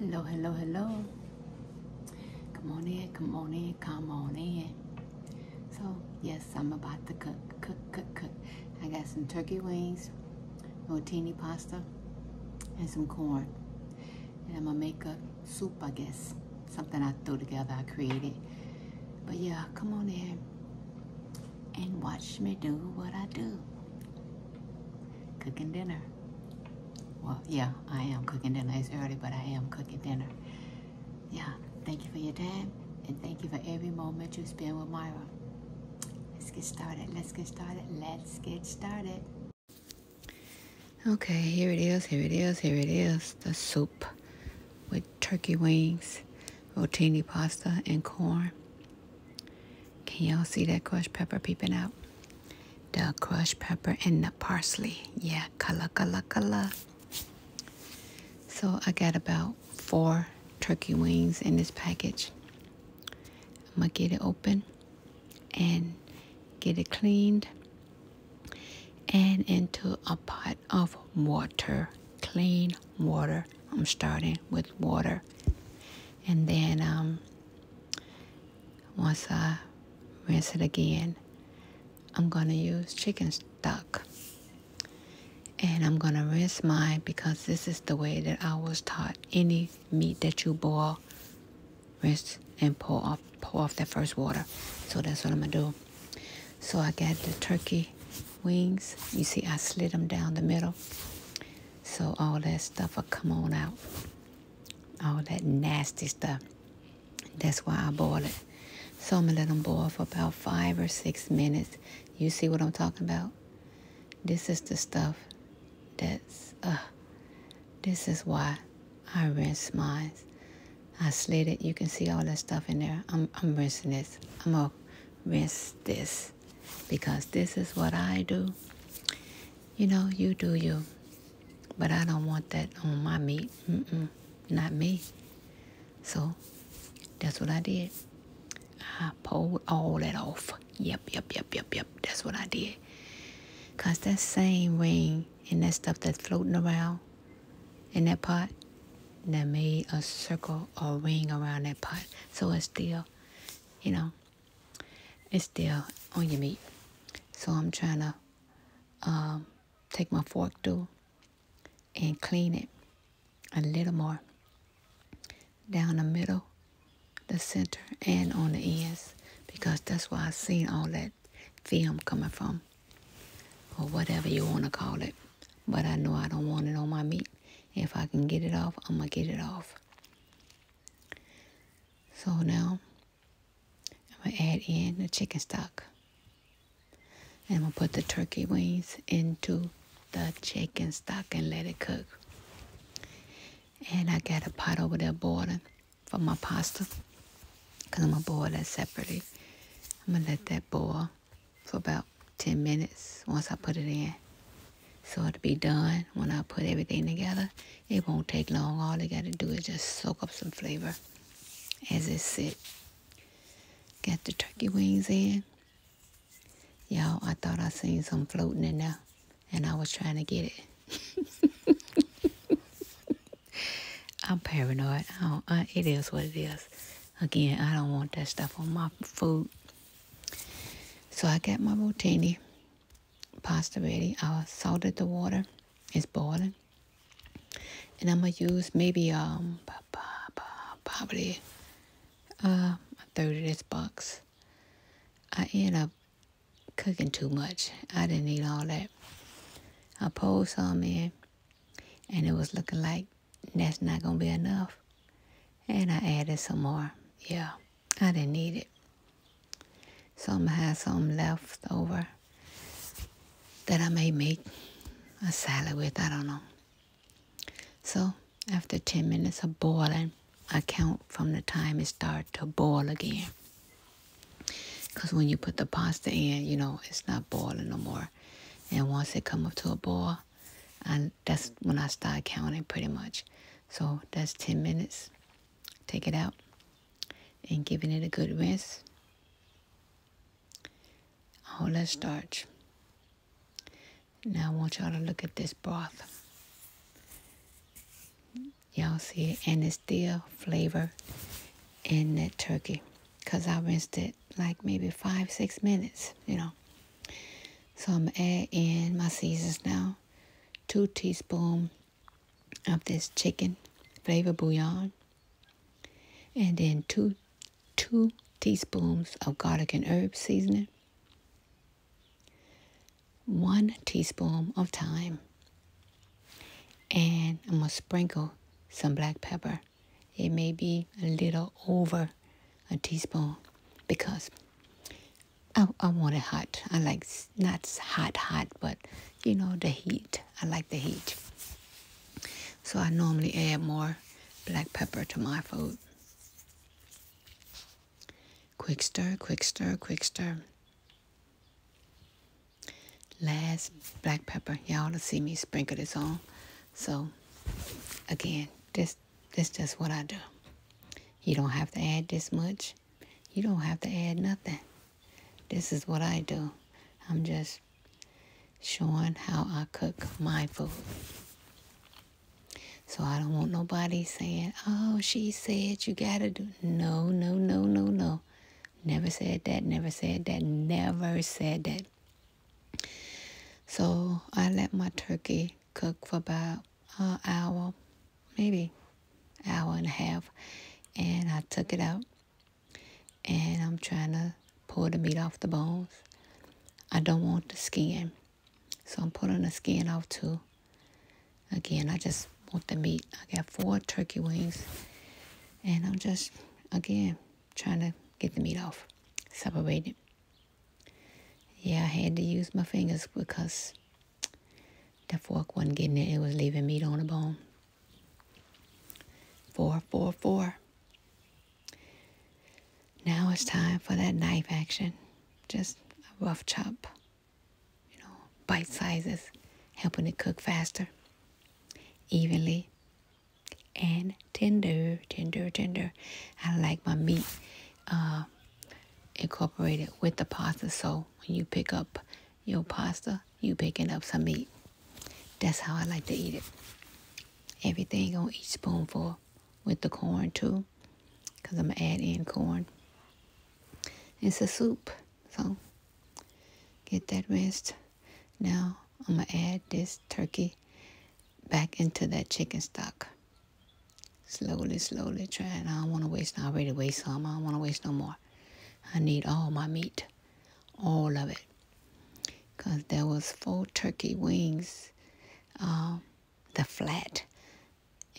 Hello, hello, hello. Come on in, come on in, come on in. So, yes, I'm about to cook, cook, cook, cook. I got some turkey wings, rotini pasta, and some corn. And I'm gonna make a soup, I guess. Something I threw together, I created. But yeah, come on in and watch me do what I do. Cooking dinner. Well, yeah, I am cooking dinner. It's early, but I am cooking dinner. Yeah, thank you for your time, and thank you for every moment you spent with Myra. Let's get started. Let's get started. Let's get started. Okay, here it is. Here it is. Here it is. The soup with turkey wings, rotini pasta, and corn. Can y'all see that crushed pepper peeping out? The crushed pepper and the parsley. Yeah, color, color, color. So I got about four turkey wings in this package. I'm gonna get it open and get it cleaned and into a pot of water, clean water. I'm starting with water and then um, once I rinse it again, I'm gonna use chicken stock. And I'm gonna rinse mine because this is the way that I was taught. Any meat that you boil, rinse and pull off, pour off that first water. So that's what I'm gonna do. So I got the turkey wings. You see, I slid them down the middle. So all that stuff will come on out. All that nasty stuff. That's why I boil it. So I'm going to let them boil for about five or six minutes. You see what I'm talking about? This is the stuff that's, uh, this is why I rinse mine. I slit it. You can see all that stuff in there. I'm, I'm rinsing this. I'm going to rinse this because this is what I do. You know, you do you. But I don't want that on my meat. Mm -mm, not me. So that's what I did. I pulled all that off. Yep, yep, yep, yep, yep. That's what I did. Because that same ring and that stuff that's floating around in that pot, that made a circle or ring around that pot. So it's still, you know, it's still on your meat. So I'm trying to um, take my fork through and clean it a little more down the middle, the center, and on the ends because that's where I seen all that film coming from or whatever you want to call it. But I know I don't want it on my meat. If I can get it off, I'm going to get it off. So now I'm going to add in the chicken stock. And I'm going to put the turkey wings into the chicken stock and let it cook. And I got a pot over there boiling for my pasta. Because I'm going to boil that separately. I'm going to let that boil for about 10 minutes once I put it in. So it'll be done when I put everything together. It won't take long. All they got to do is just soak up some flavor as it sit. Got the turkey wings in. Y'all, I thought I seen some floating in there, and I was trying to get it. I'm paranoid. it is what it is. Again, I don't want that stuff on my food. So I got my rotini pasta ready. I salted the water. It's boiling. And I'm going to use maybe um probably uh, a third of this box. I end up cooking too much. I didn't need all that. I poured some in and it was looking like that's not going to be enough. And I added some more. Yeah. I didn't need it. Some had some left over that I may make a salad with, I don't know. So after 10 minutes of boiling, I count from the time it starts to boil again. Because when you put the pasta in, you know, it's not boiling no more. And once it come up to a boil, and that's when I start counting pretty much. So that's 10 minutes. Take it out and giving it a good rinse. All oh, that starch. Now I want y'all to look at this broth. Y'all see it, and it's still flavor in that turkey. Because I rinsed it like maybe five, six minutes, you know. So i some add in my seasons now. Two teaspoons of this chicken flavor bouillon. And then two two teaspoons of garlic and herb seasoning. One teaspoon of thyme. And I'm gonna sprinkle some black pepper. It may be a little over a teaspoon because I, I want it hot. I like not hot, hot, but you know, the heat. I like the heat. So I normally add more black pepper to my food. Quick stir, quick stir, quick stir. Last black pepper. Y'all to see me sprinkle this on. So again, this that's just what I do. You don't have to add this much. You don't have to add nothing. This is what I do. I'm just showing how I cook my food. So I don't want nobody saying, oh, she said you got to do. No, no, no, no, no. Never said that, never said that, never said that. So I let my turkey cook for about an uh, hour, maybe hour and a half. And I took it out and I'm trying to pull the meat off the bones. I don't want the skin. So I'm pulling the skin off too. Again, I just want the meat. I got four turkey wings and I'm just, again, trying to get the meat off, separate it. Yeah, I had to use my fingers because the fork wasn't getting it. It was leaving meat on the bone. Four, four, four. Now it's time for that knife action. Just a rough chop. You know, bite sizes, helping it cook faster, evenly, and tender, tender, tender. I like my meat uh, incorporated with the pasta. So when you pick up your pasta, you picking up some meat. That's how I like to eat it. Everything on each spoonful with the corn too, because I'm going to add in corn. It's a soup, so get that rinsed. Now I'm going to add this turkey back into that chicken stock. Slowly, slowly trying. I don't want to waste. I already waste some. I don't want to waste no more. I need all my meat. All of it. Because there was four turkey wings. Um, the flat.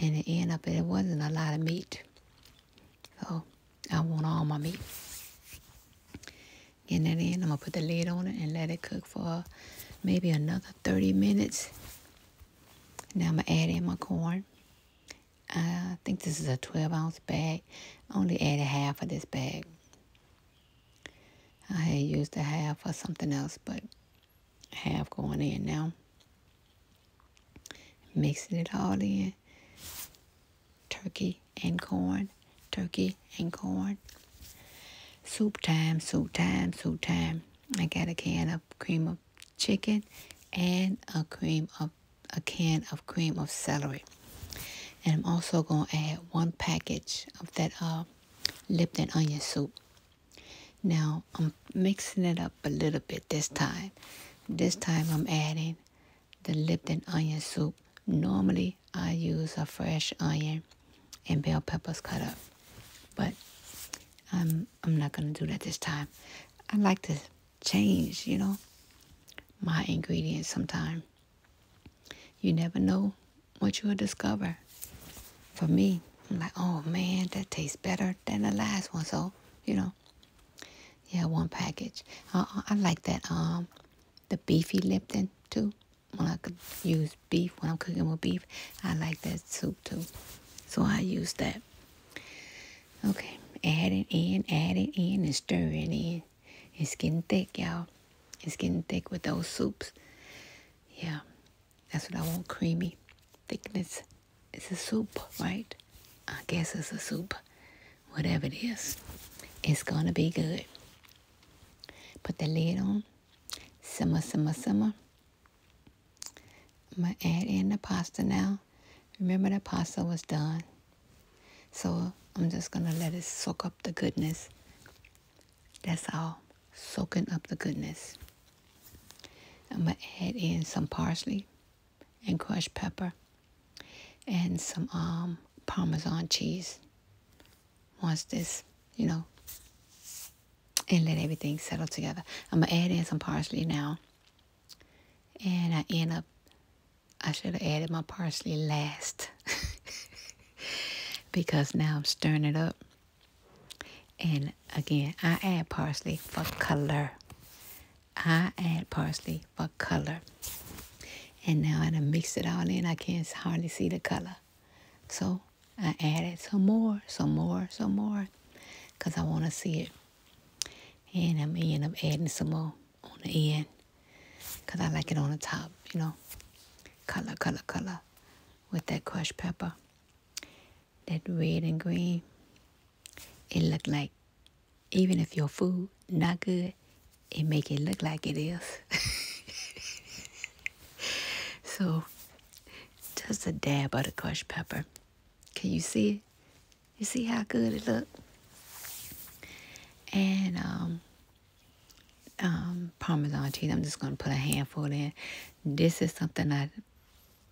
And it ended up, it wasn't a lot of meat. So I want all my meat. Getting that in, I'm going to put the lid on it and let it cook for maybe another 30 minutes. Now I'm gonna add in my corn. I think this is a 12 ounce bag. I only added half of this bag. I had used a half for something else, but half going in now. Mixing it all in. Turkey and corn, turkey and corn. Soup time, soup time, soup time. I got a can of cream of chicken and a cream of a can of cream of celery. And I'm also going to add one package of that uh, Lipton onion soup. Now I'm mixing it up a little bit this time. This time I'm adding the Lipton onion soup. Normally I use a fresh onion and bell peppers cut up. But I'm I'm not gonna do that this time. I like to change, you know, my ingredients Sometimes. You never know what you'll discover. For me, I'm like, oh man, that tastes better than the last one. So, you know, yeah, one package. Uh, uh I like that, um, the beefy lip Lipton too when I could use beef, when I'm cooking with beef, I like that soup too. So I use that. Okay, add it in, add it in, and stir it in. It's getting thick, y'all. It's getting thick with those soups. Yeah, that's what I want, creamy thickness. It's a soup, right? I guess it's a soup. Whatever it is, it's gonna be good. Put the lid on. Simmer, simmer, simmer. I'm going to add in the pasta now. Remember the pasta was done. So I'm just going to let it soak up the goodness. That's all. Soaking up the goodness. I'm going to add in some parsley and crushed pepper and some um, Parmesan cheese once this, you know, and let everything settle together. I'm going to add in some parsley now. And I end up, I should have added my parsley last. because now I'm stirring it up. And again, I add parsley for color. I add parsley for color. And now I done mixed it all in. I can't hardly see the color. So I added some more, some more, some more, because I want to see it. And I'm end up adding some more on the end, because I like it on the top, you know. Color, color, color, with that crushed pepper. That red and green, it look like, even if your food not good, it make it look like it is. so just a dab of the crushed pepper. Can you see it? You see how good it look? And um, um, Parmesan cheese. I'm just gonna put a handful in. This is something I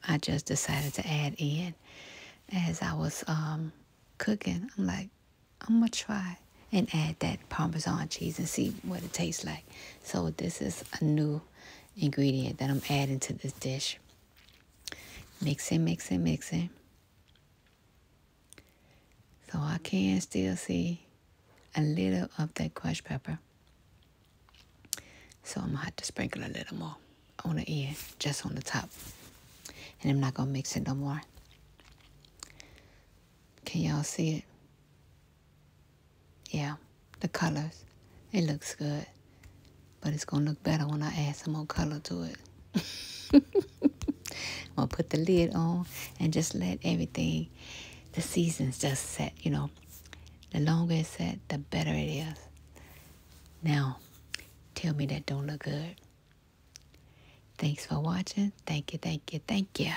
I just decided to add in as I was um, cooking. I'm like, I'm gonna try and add that Parmesan cheese and see what it tastes like. So this is a new ingredient that I'm adding to this dish. Mixing, mixing, mixing. So I can still see a little of that crushed pepper. So I'm gonna have to sprinkle a little more on the end, just on the top. And I'm not gonna mix it no more. Can y'all see it? Yeah, the colors. It looks good. But it's going to look better when I add some more color to it. I'm going to put the lid on and just let everything, the seasons just set, you know. The longer it's set, the better it is. Now, tell me that don't look good. Thanks for watching. Thank you, thank you, thank you.